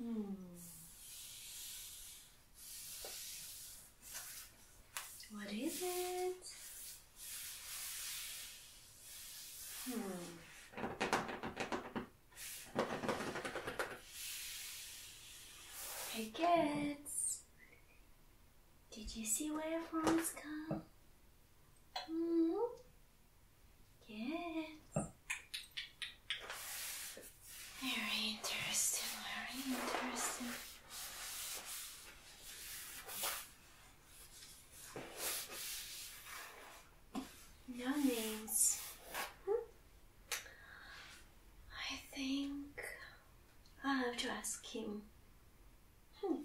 Hmm. What is it? Hmm. Hey kids, did you see where frogs come? -hmm. Yeah. Very interesting, very interesting. No names. Hmm? I think i have to ask him. Hmm.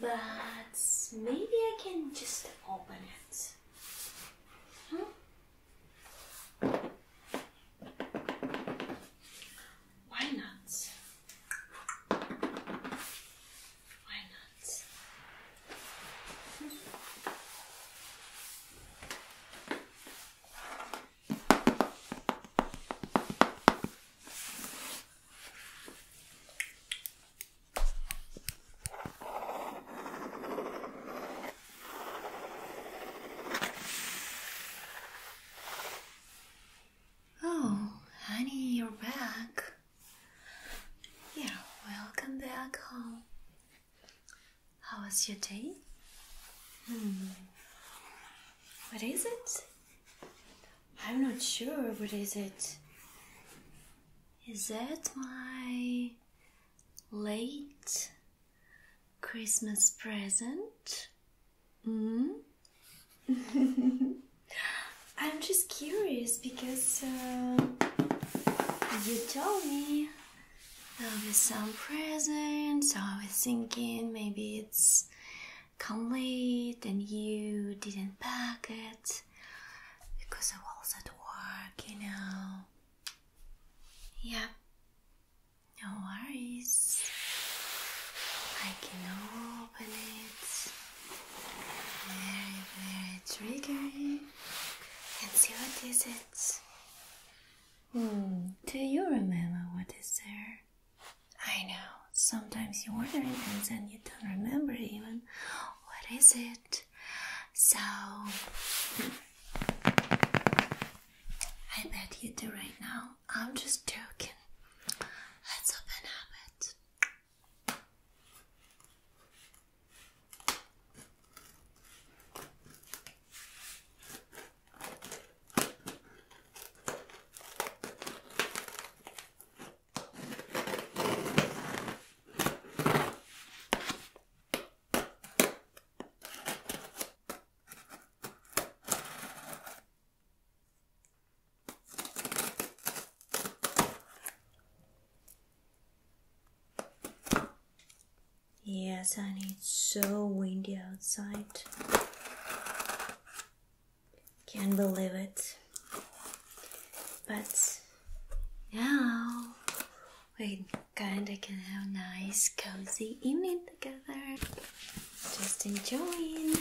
But maybe I can just open it. Hmm? Why not? Why not? Oh, honey, you're back. Yeah, welcome back home. How was your day? Hmm. What is it? I'm not sure. What is it? Is that my late Christmas present? Mm? I'm just curious because uh, you told me there'll be some present, so I was thinking maybe it's come late and you didn't pack it because I was at work, you know. Yeah, no worries. I can open it very, very triggering and see what is it. Hmm, do you remember what is there? I know, sometimes you order it and then you don't remember even what is it. So I bet you do right now. I'm just joking. Let's open up it. Yes, and it's so windy outside. Can't believe it. But now we kinda can have a nice cozy evening together. Just enjoying.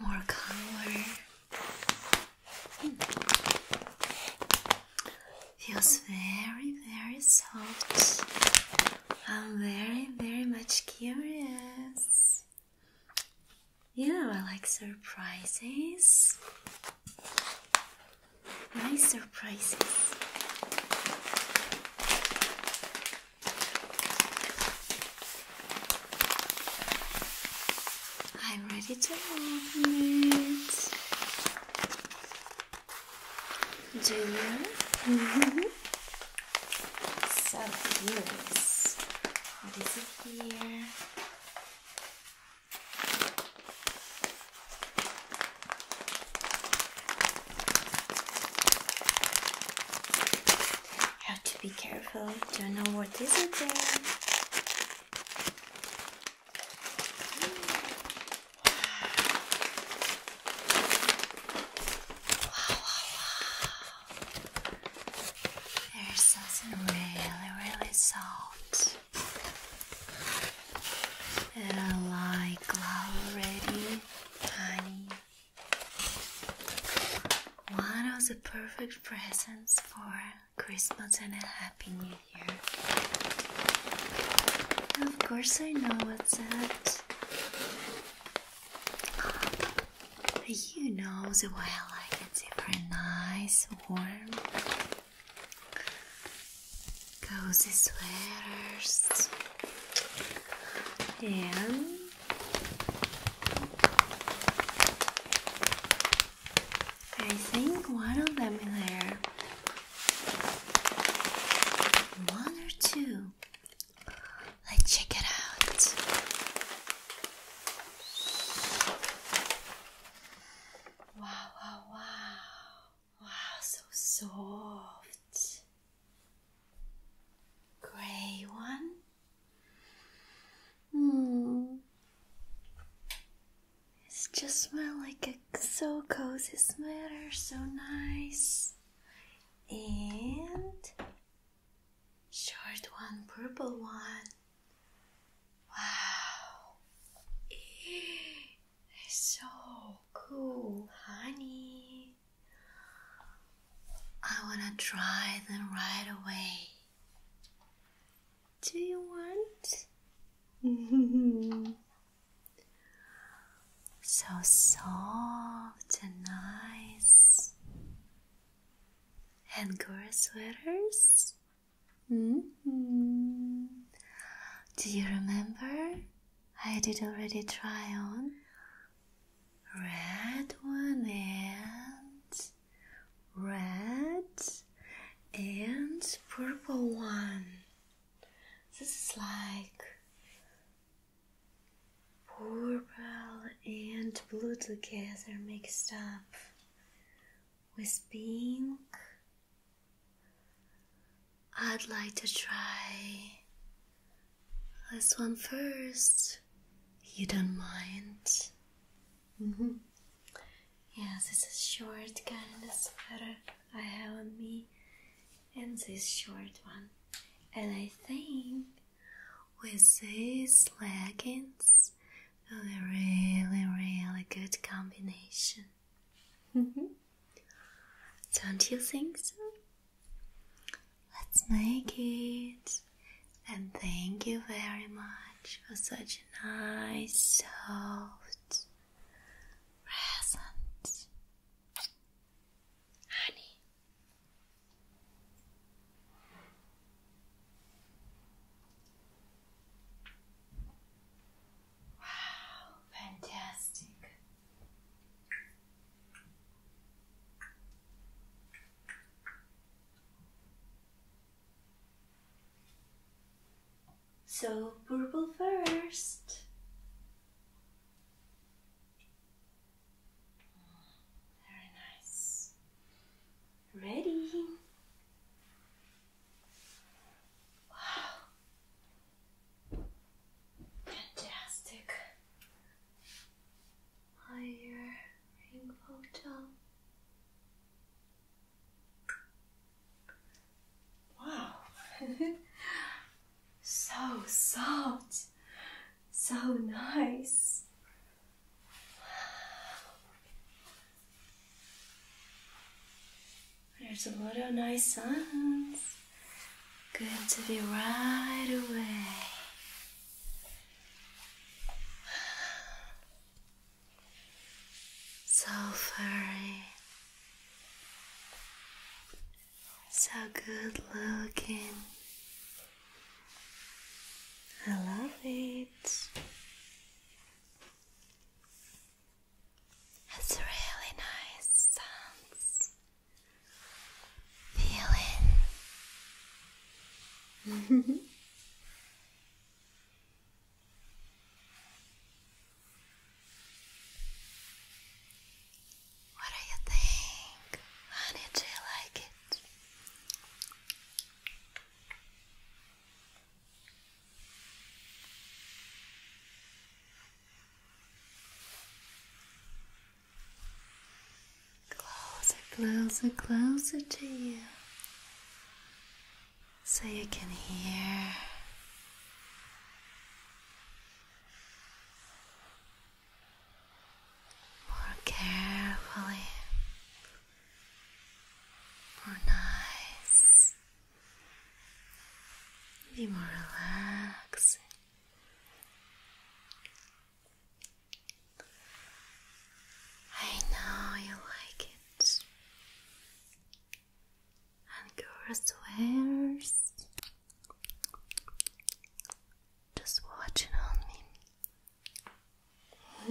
More color. Hmm. Feels very, very soft. I'm very, very much curious. You know, I like surprises. Nice surprises. I'm ready to open it. Do you? So curious. What is it here? Have to be careful. Don't know what is it there. Wow, There's something really, really soft. I like already, honey. One of the perfect presents for Christmas and a Happy New Year. Of course, I know what's that. You know the way I like it, it's very nice, warm, cozy sweaters, and I think one of them is there, one or two. Let's check it out. Wow, wow, wow. Wow, so soft. Gray one. Hmm. It's just smell like a so cozy smell, so nice and short one, purple one. Wow, it's so cool, honey. I wanna try them right away. Do you want? so soft and nice. And girl sweaters? -hmm. Do you remember? I did already try on red one and red and purple one. This is like Purple and blue together mixed up with pink. I'd like to try this one first. You don't mind. Mm -hmm. Yes, it's a short kind of sweater I have on me and this short one. And I think with these leggings, a really, really good combination. Mm-hmm. Don't you think so? Let's make it. And thank you very much for such a nice, soft present. Honey. Wow, fantastic. So purple first. Very nice. Ready? Wow. Fantastic. Higher ring Wow. So soft, so nice. There's a lot of nice sounds. Good to be right away. So furry, so good looking. I love it. It's really nice Feeling. What do you think? Honey, do you like it? Closer, closer, closer to you so you can hear more carefully, more nice, be more relaxed. I know you like it and Guru swears just watching on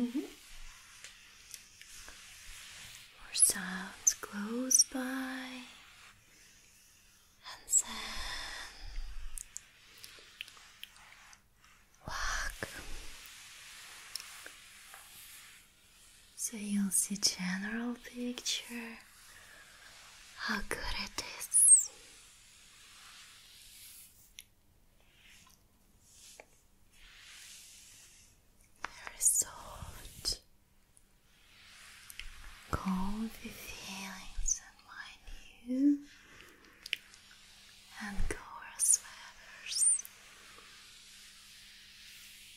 me. Mm More sounds close by, and then walk. So you'll see general picture how good it is. Very soft, comfy feelings in my new and coarse feathers.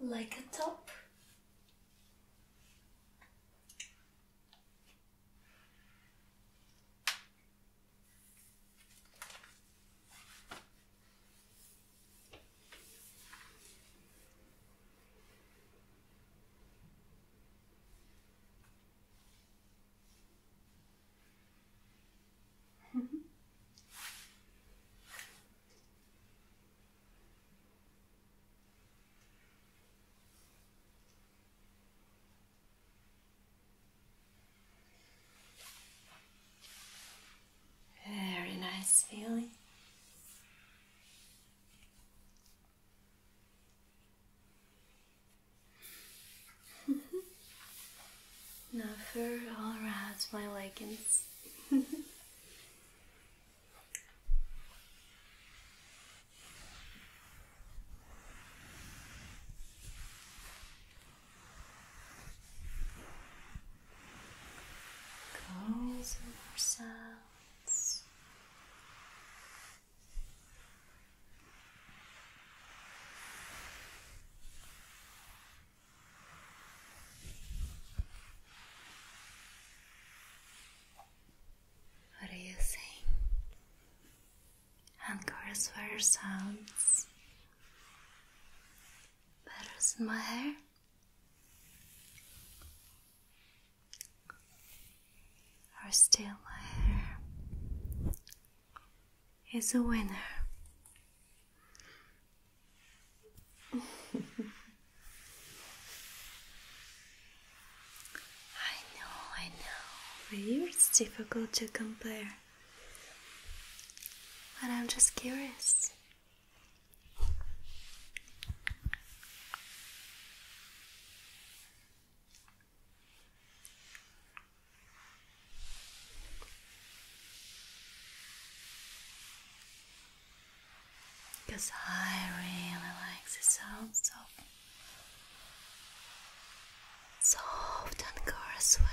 like a top. Very nice feeling. now for all rats, my leggings. Curls and what are you think? Anchors were sounds. Better in my hair. Are still my hair is a winner. I know, I know, for you it's difficult to compare. But I'm just curious. Because I really like the sound of soft and Ankara sweater.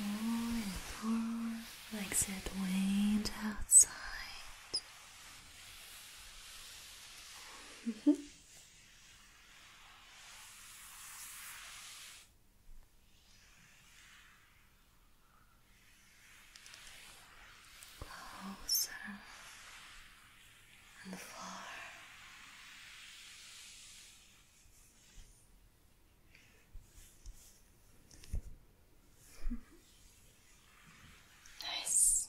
More and more like that wind outside. Closer and far. nice.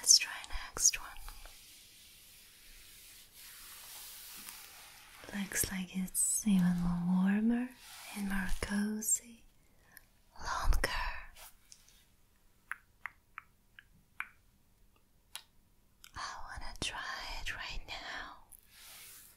Let's try next one. Looks like it's even warmer and more cozy, longer. I wanna try it right now.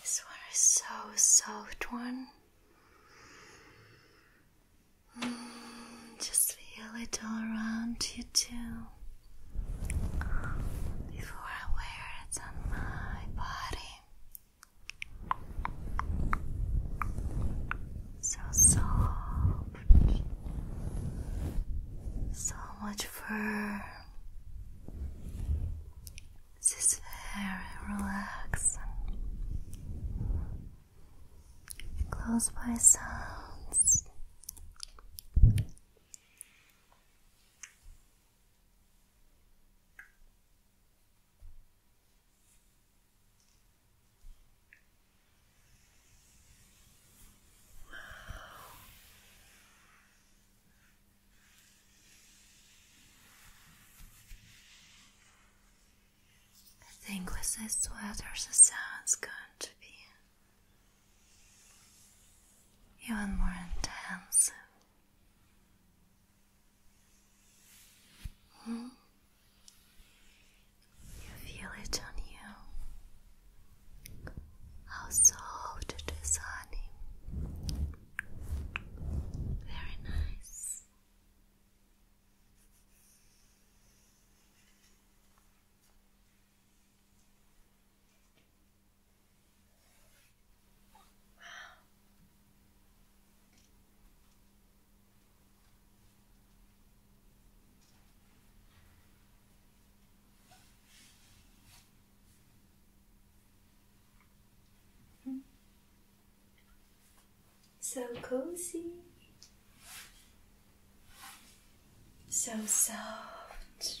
This one is so soft one. Mm, just feel it all around you too. Before I wear it on my body, so soft, so much fur. This is very relaxing. Close by sounds. I think with this sweater the sound's going to be even more intense. You feel it on you. How soft it is, honey. Very nice. So cozy, so soft.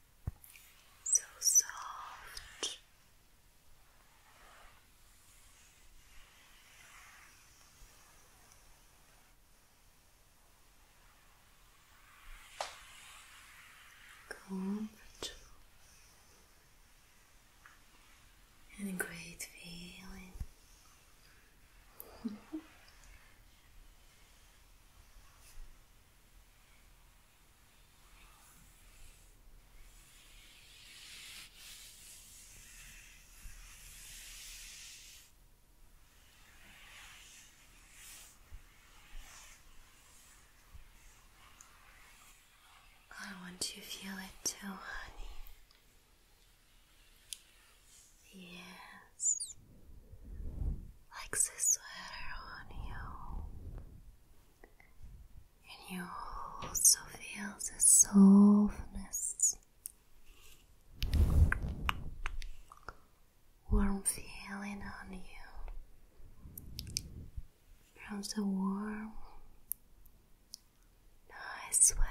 so soft. Comfortable and a great feeling. I want you to feel it too, honey. Yeah like the sweater on you, and you also feel the softness, warm feeling on you from the warm, nice sweater.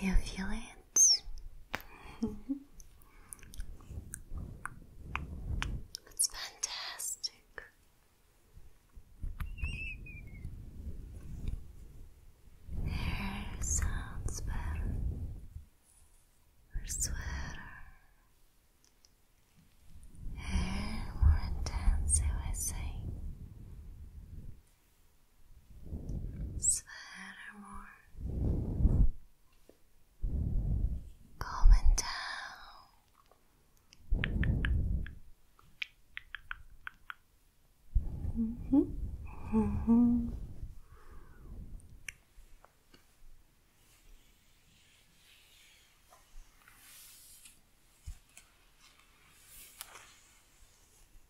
You feel it? it's fantastic. Hair sounds better. Or sweater. Hair more intense, I say sweater more coming down. -hmm. -hmm.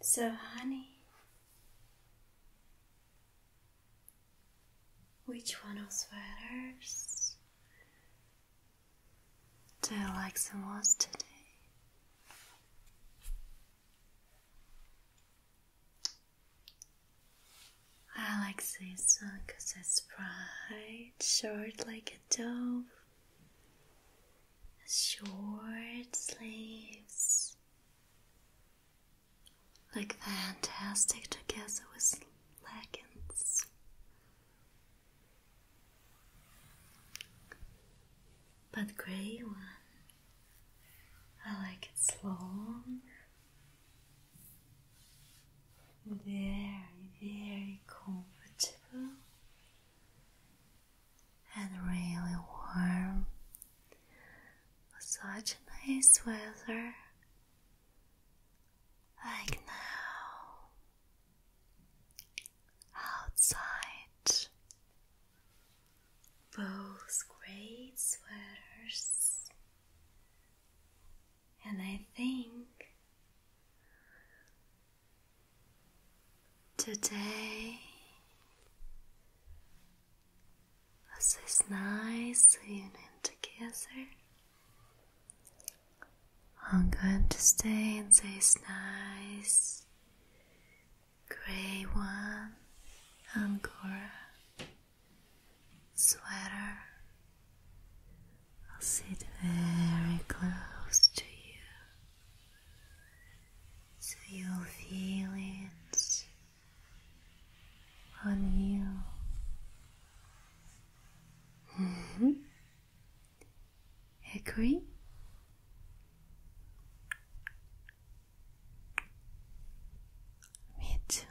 So, honey, which one of sweaters do you like the most today? I like this one because it's bright, short like a dove, short sleeves. Like fantastic to together with leggings. But grey one, I like it's long very, very comfortable and really warm. Such nice weather like now outside. Both great sweaters and I think today was this nice union together. I'm going to stay in this nice gray one, Angora sweater i will sit very close to you so you'll feel it on you. mm Agree? Me too.